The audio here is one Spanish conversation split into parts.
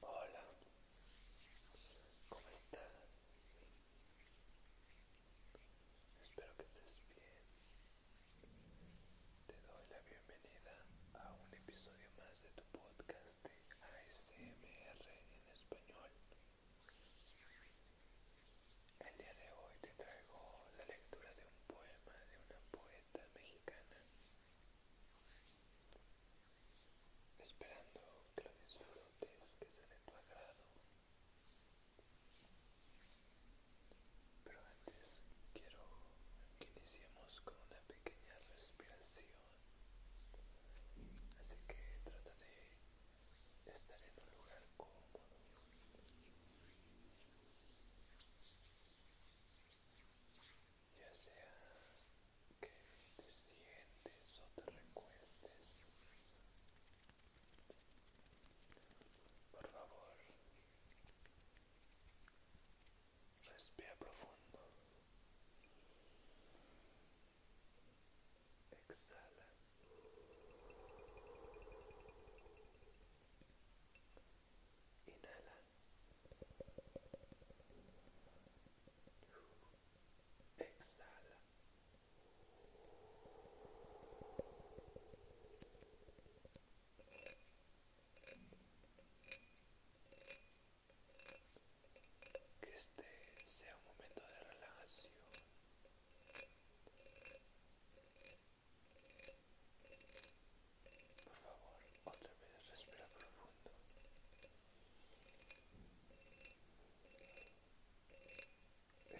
Hola, ¿cómo estás? Espero que estés bien. Te doy la bienvenida a un episodio más de tu podcast de ASMR en español. El día de hoy te traigo la lectura de un poema de una poeta mexicana Esperando que lo disfrutes, que sea de tu agrado. Pero antes quiero que iniciemos con una pequeña respiración. Así que trata de estar en un lugar cómodo ya sea que te sientes o te recuestes por favor respira profundo exhala inhala Exhala. Que este sea un momento de relajación por favor, otra vez respira profundo.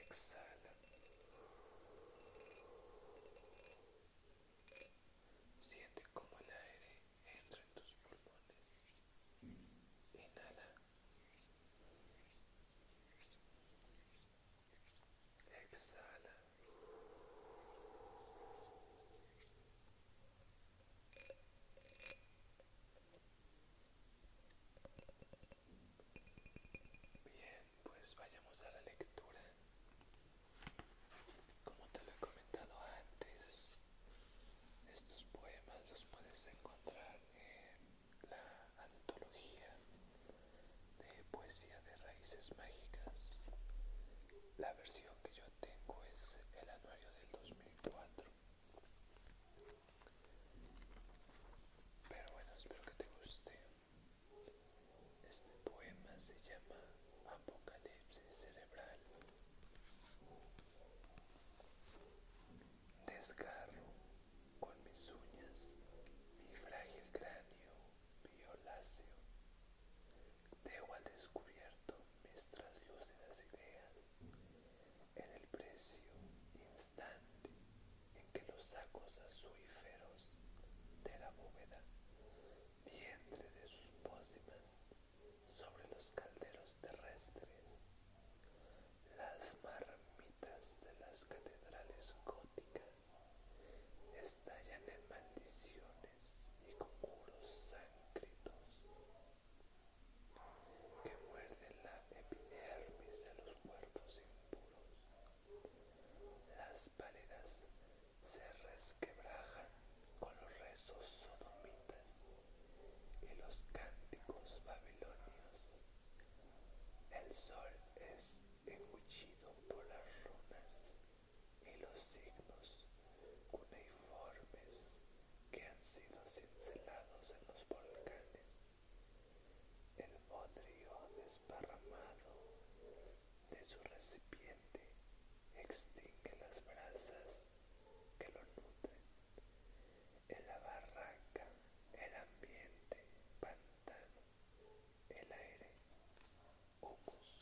Exhala. Siente como el aire entra en tus pulmones. Inhala. Exhala. Bien, pues vayamos a la lectura. Como te lo he comentado antes, estos poemas los puedes encontrar en la antología de poesía de raíces mágicas. La versión que yo tengo es el anuario del 2004. Pero bueno, espero que te guste. Este poema se llama Apocalipsis Cerebral. Desgarro con mis uñas mi frágil cráneo violáceo. Dejo al descubierto mis traslúcidas ideas en el precio instante en que los sacos azuíferos de la bóveda, vientre de sus pócimas sobre los calderos terrestres, las marmitas de las catedrales góticas estallan en maldiciones y conjuros sáncritos que muerden la epidermis de los cuerpos impuros. Las paredes se resquebrajan con los rezos sodomitas y los cánticos babilonios el sol es engullido por las runas y los signos cuneiformes que han sido cincelados en los volcanes. El odrio desparramado de su recipiente extingue las brasas que lo nutren en la barraca, el ambiente, pantano, el aire, humus.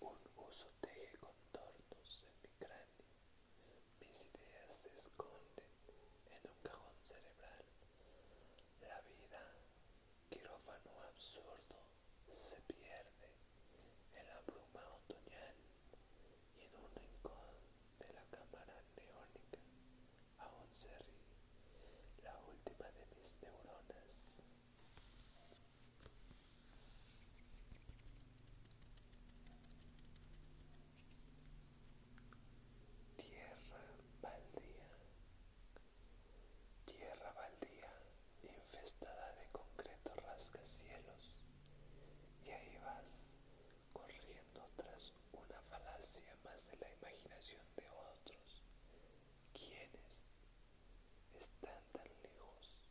Un uso teje contornos en mi cráneo. Mis ideas se esconden en un cajón cerebral. La vida, quirófano absurdo, se pierde en la bruma otoñal y en un rincón de la cámara neónica aún se la última de mis neuronas. Tierra baldía, tierra baldía, infestada de concreto cielos y ahí vas corriendo tras una falacia más de la imaginación de otros quienes están tan lejos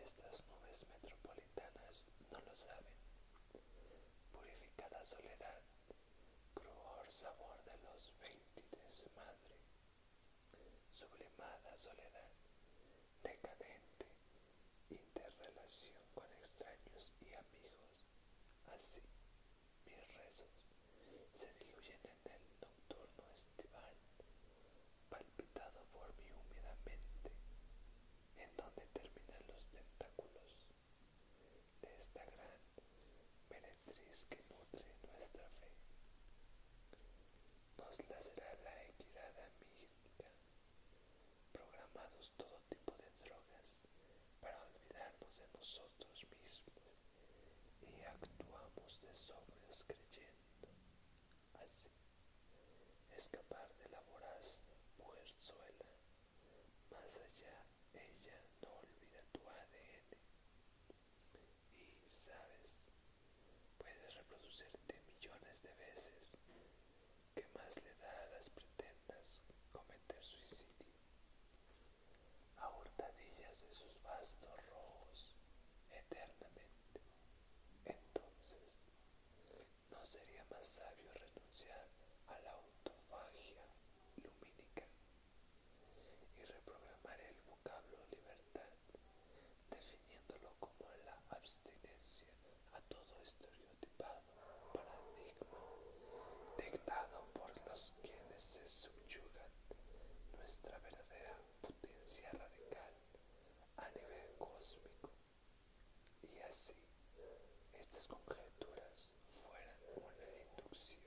estas nubes metropolitanas no lo saben purificada soledad cruor sabor de los su madre sublimada soledad, decadente interrelación con extraños y amigos. Así, mis rezos se diluyen en el nocturno estival, palpitado por mi húmeda mente, en donde terminan los tentáculos de esta gran meretriz que nutre nuestra fe nos será la equidad amiga, programados todo tipo de drogas para olvidarnos de nosotros mismos y actuamos de sobrios creyendo así escapar de la voraz mujerzuela, más allá ella no olvida tu ADN, y sabes, puedes reproducirte millones de veces. que más le da a las pretendas cometer suicidio? A hurtadillas de sus bastos rojos, eternamente. Entonces, ¿no sería más sabio renunciar a la autofagia lumínica y reprogramar el vocablo libertad, definiéndolo como la abstinencia a todo estereotipado paradigma dictado por los quienes se subyugan nuestra verdadera potencia radical a nivel cósmico. Y así, estas conjeturas fueran una inducción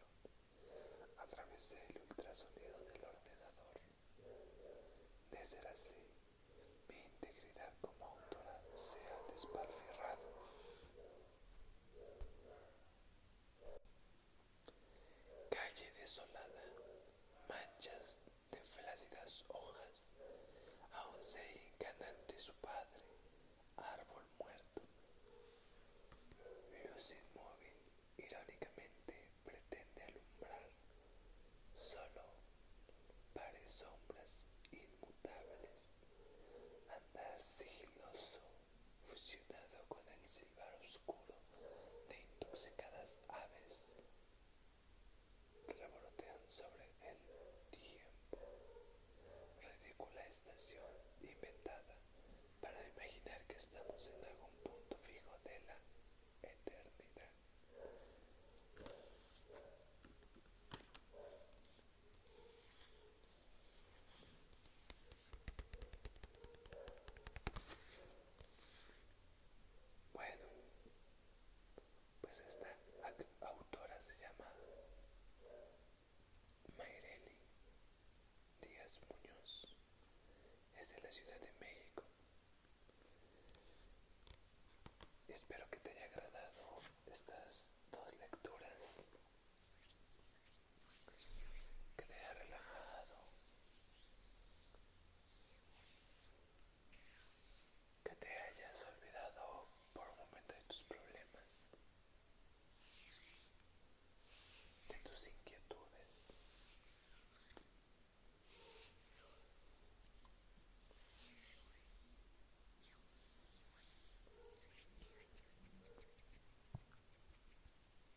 a través del ultrasonido del ordenador. De ser así, mi integridad como autora se ha despalfirrado. Calle desolada, manchas de flácidas hojas, aún se enganante su padre, árbol muerto. Luz inmóvil irónicamente pretende alumbrar solo pares sombras inmutables, andar sigiloso, fusionado con el silbar oscuro de intoxicadas aves revolotean sobre el tiempo, ridícula estación inventada para imaginar que estamos en algún punto fijo de la eternidad. Bueno, pues esta autora se llama Mayreli Díaz Muñoz es de la Ciudad de México. Espero que te haya agradado estas dos lecturas, que te haya relajado, que te hayas olvidado por un momento de tus problemas de tus inquietudes.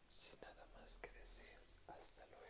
Sin nada más que decir, hasta luego.